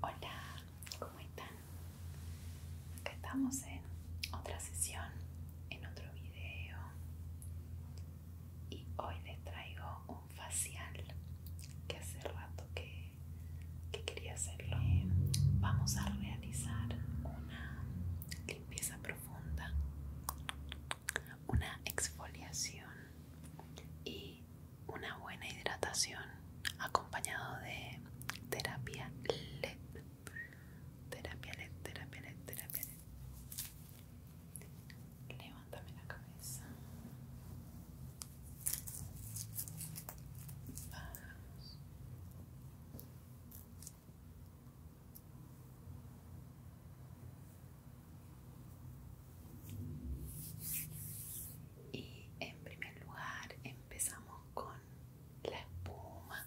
Hola, ¿cómo están? Acá estamos en otra sesión, en otro video y hoy les traigo un facial que hace rato que, quería hacerlo. vamos a realizar una limpieza profunda, una exfoliación y una buena hidratación acompañado de terapia LED. Terapia LED, terapia LED, terapia LED. Levántame la cabeza. Y en primer lugar empezamos con la espuma.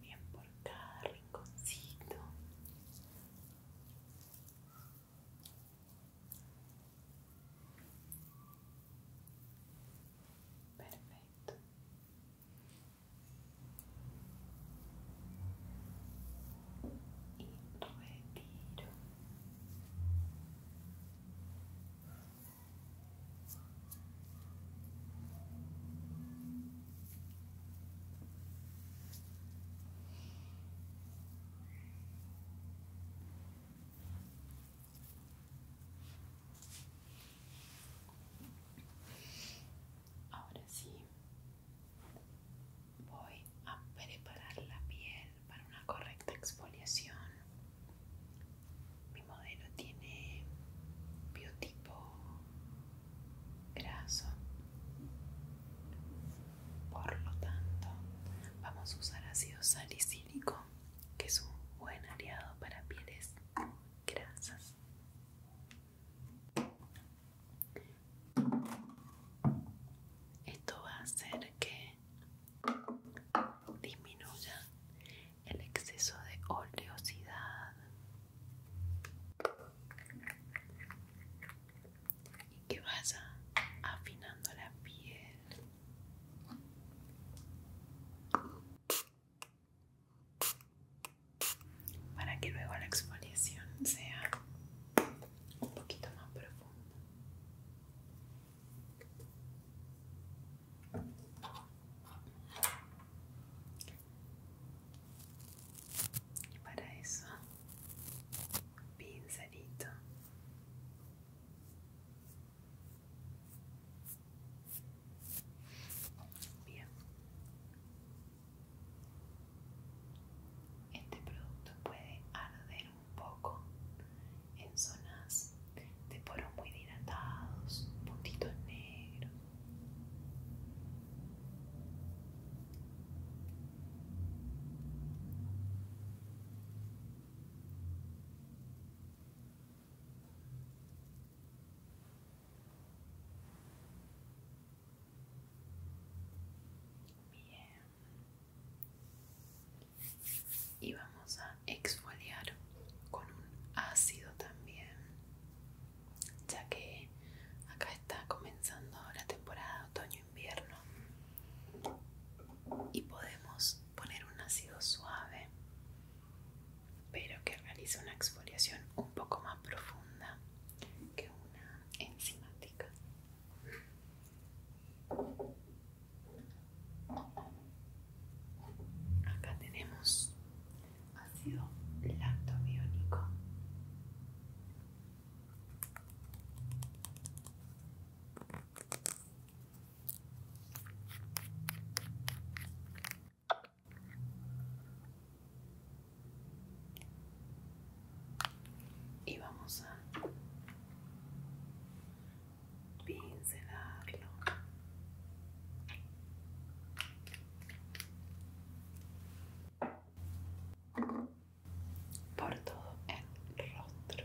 bien por cada rinconcito perfecto y retiro Ahora sí, voy a preparar la piel para una correcta exfoliación. Mi modelo tiene biotipo graso, por lo tanto vamos a usar ácido salicílico, que es un buen aliado para pieles grasas. Esto va a hacer que disminuya el exceso de oleosidad y que vaya afinando la piel. Para que luego la exfoliación sea un poquito más profunda. Y para eso, pincelito. Bien. Este producto puede arder un poco en zonas de poro muy dilatados, puntitos negros. Bien y vamos a exfoliar con un ácido también ya que acá está comenzando la temporada otoño-invierno y podemos poner un ácido suave pero que realice una exfoliación un poco más profunda que una enzimática Acá tenemos ácido biónico Y vamos a pinzelarlo por todo el rostro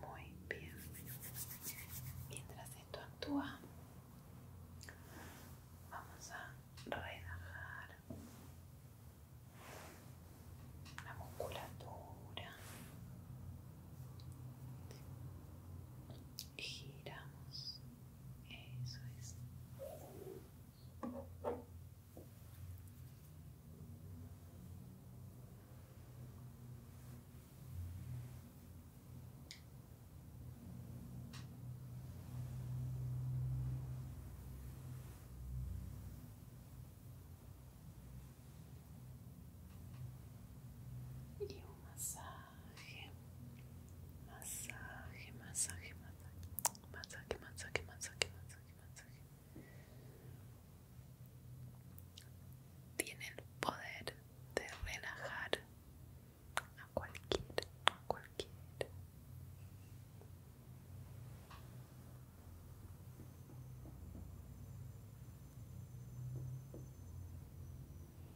Muy bien. Mientras esto actúa, vamos a relajar la musculatura. Giramos isso, é isso. E uma massagem masaje, masaje, masaje, masaje, masaje, masaje, Tiene el poder de relajar a cualquier, a cualquier.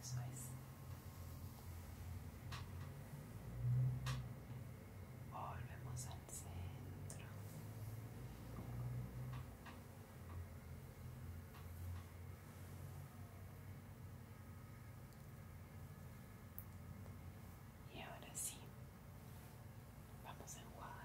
Eso es. Volvemos al centro. E agora é sim, vamos enrolar.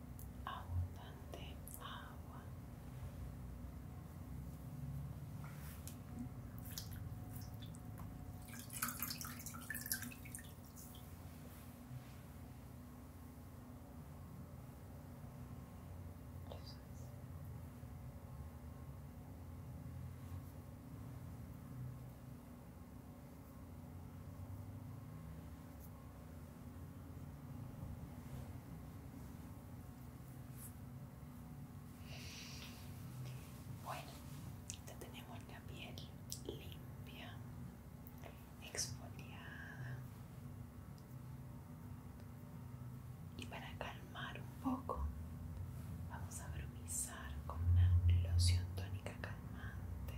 abundante agua. Bueno, ya tenemos la piel limpia, exfoliada. Y para calmar un poco, vamos a bromizar con una loción tónica calmante.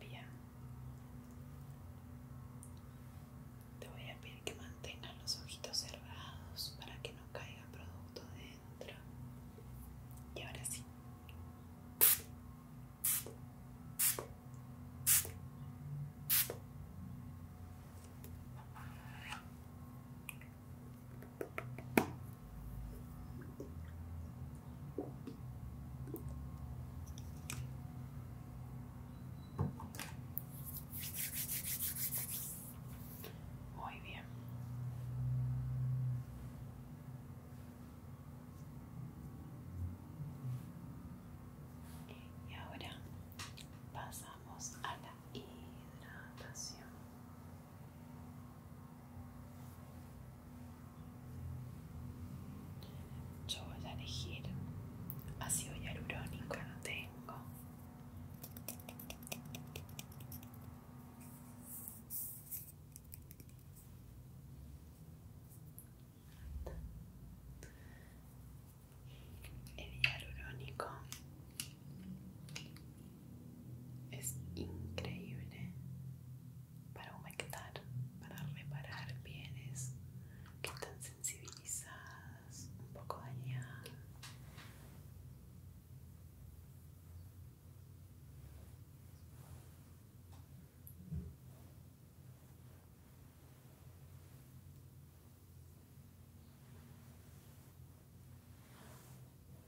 Bien. Te voy a pedir que mantengas los ojitos cerrados para que no caiga producto dentro. Y ahora sí. Muy bien. Y ahora pasamos a la hidratación. Yo voy a elegir ácido hialurónico, no tengo. El hialurónico es increíble para humectar, para reparar bienes que están sensibilizadas, un poco dañadas.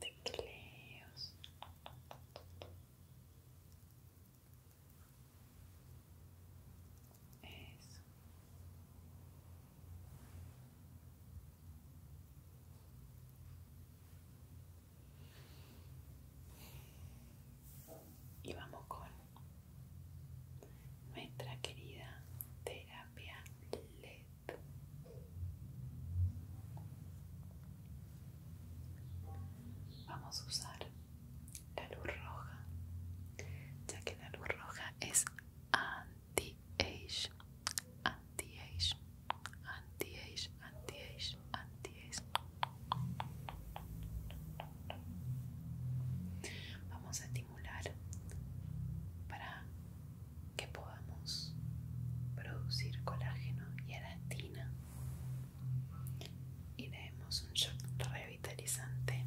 tecleos eso y vamos con nuestra querida terapia LED. Vamos a usar la luz roja, ya que la luz roja es anti-age, anti-age, anti-age, anti-age, anti-age. Vamos a para que podamos producir colágeno y elastina y le demos un shock revitalizante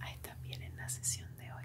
a esta piel en la sesión de hoy.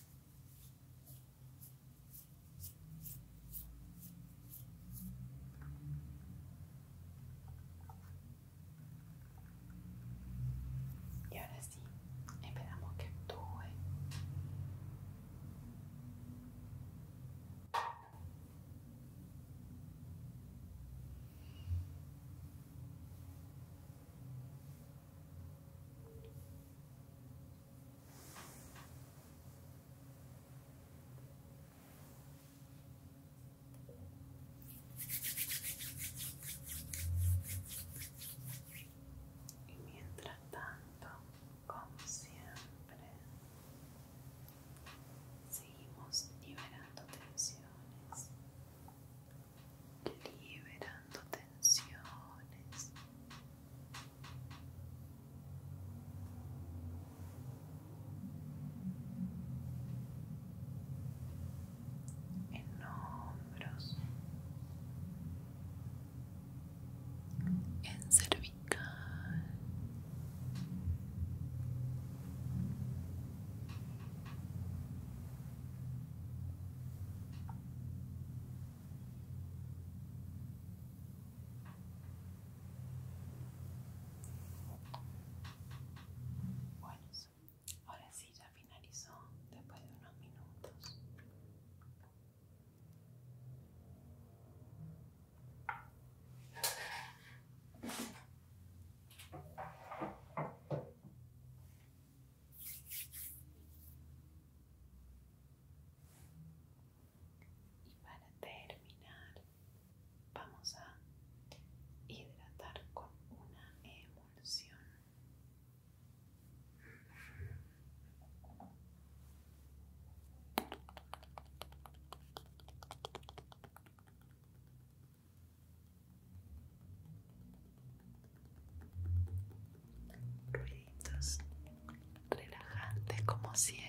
Y ahora sí, esperamos que actúe. Y mientras tanto, como siempre, seguimos liberando tensiones liberando tensiones. En hombros, en cervical, bueno, ahora sí ya finalizó después de unos minutos. Y para terminar, vamos a hidratar con una emulsión ruiditos relajantes como siempre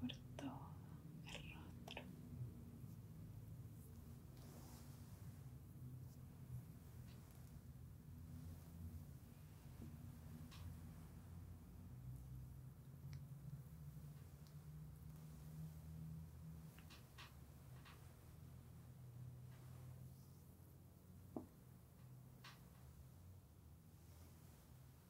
por todo el rostro.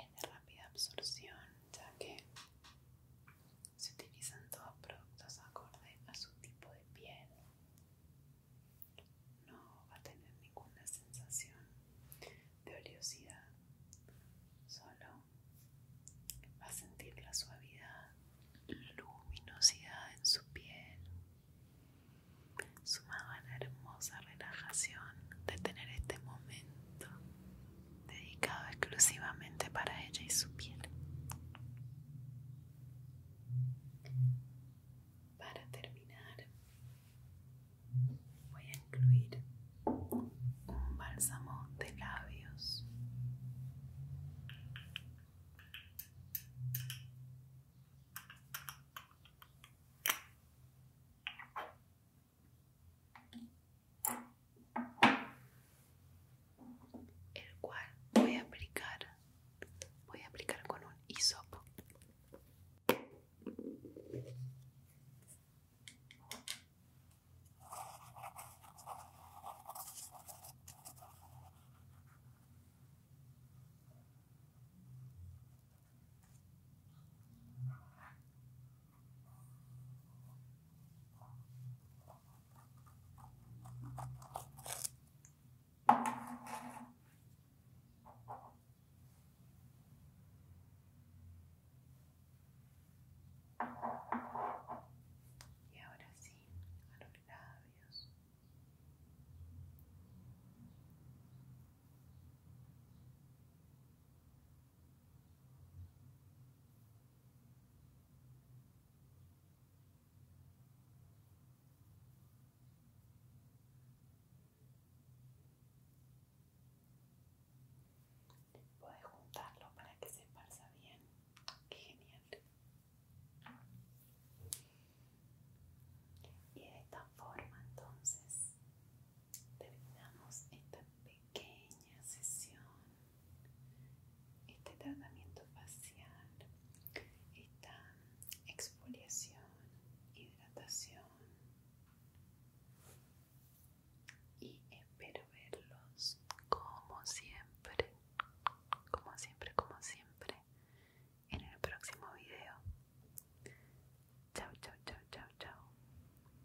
Es de rápida absorción, ya que se utilizan todos productos acorde a su tipo de piel. No va a tener ninguna sensación de oleosidad, solo va a sentir la suavidad, luminosidad en su piel, sumada a la hermosa relajación de tener este momento dedicado exclusivamente para ella y su piel. Para terminar, voy a incluir un bálsamo de labios el cual voy a aplicar voy a aplicar con un hisopo y ahora sí, a los labios. Puedes juntarlo para que se pasa bien. Genial. Y de esta forma entonces terminamos esta pequeña sesión. Este tratamiento facial, esta exfoliación, hidratación. Y espero verlos como siempre, como siempre, como siempre, en el próximo video. Chao, chao, chao, chao, chao.